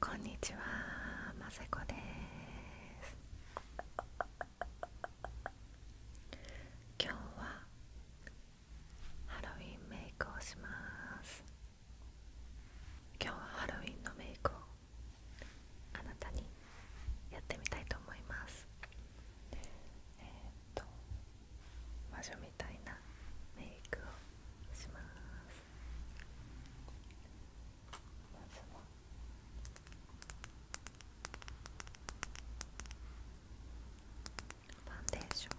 こんにちは、ませこです今日はハロウィンメイクをします今日はハロウィンのメイクをあなたにやってみたいと思いますえっ、と魔女みたいなメイクをしますまずはファンデーション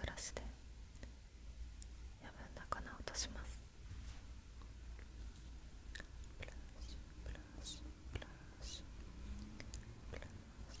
ブラシで破分な粉を落としますブラシブラシブラシブラシ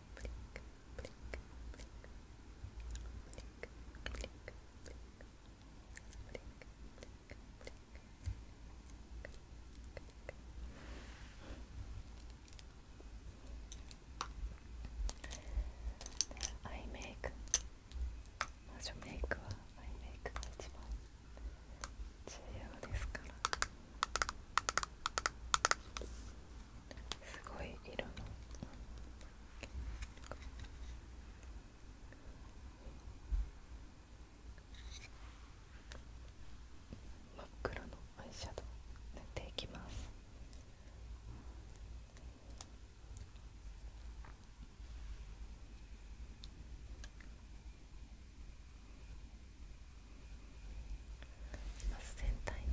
blink, blink, blink, blink, blink, blink, blink, blink, blink. I make すごい色の。真っ黒のアイシャドウ塗っていきます全体に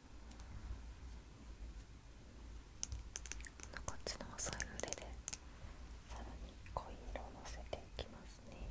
のこっちの細い筆でさらに濃い色をのせていきますね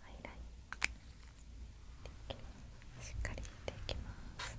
ハイライしっかりいっていきます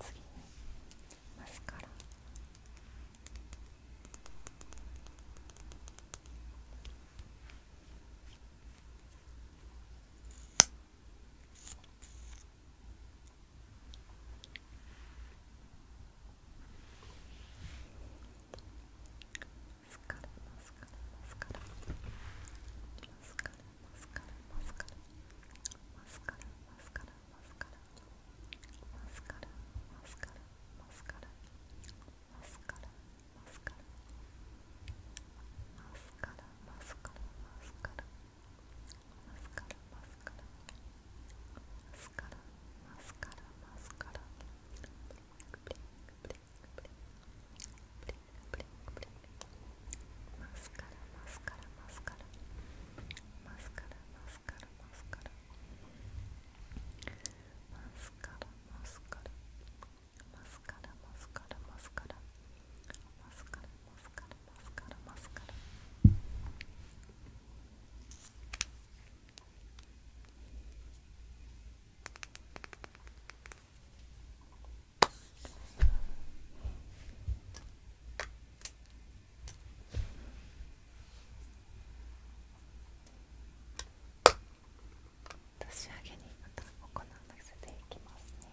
次にマスカラマスカラマスカラマスカラスカラマスカラマスカラブリンクブリンクブリンクブリンクブリンクブリンクマスカラマスカラマスカラマスカラマスカラマスカラマスカラマスカラマスカラマスカラマスカラマスカラマスカラマスカラマスカラマスカラ年上げにまた行わせていきますね。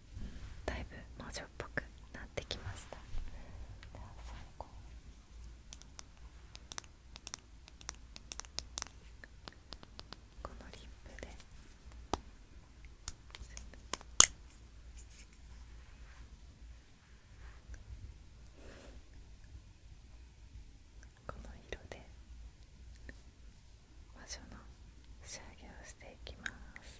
だいぶ魔女っぽくなってきましたでは最後このリップでこの色で魔女の仕上げをしていきます。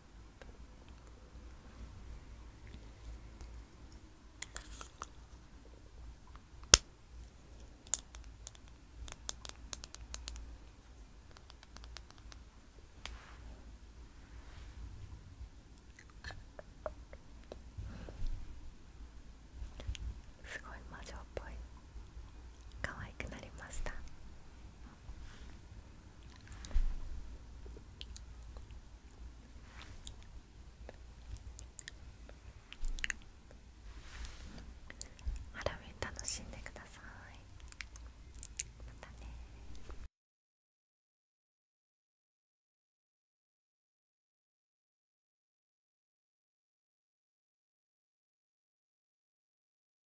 すごい魔女っぽい可愛くなりましたハロウ楽しんでくださいまたね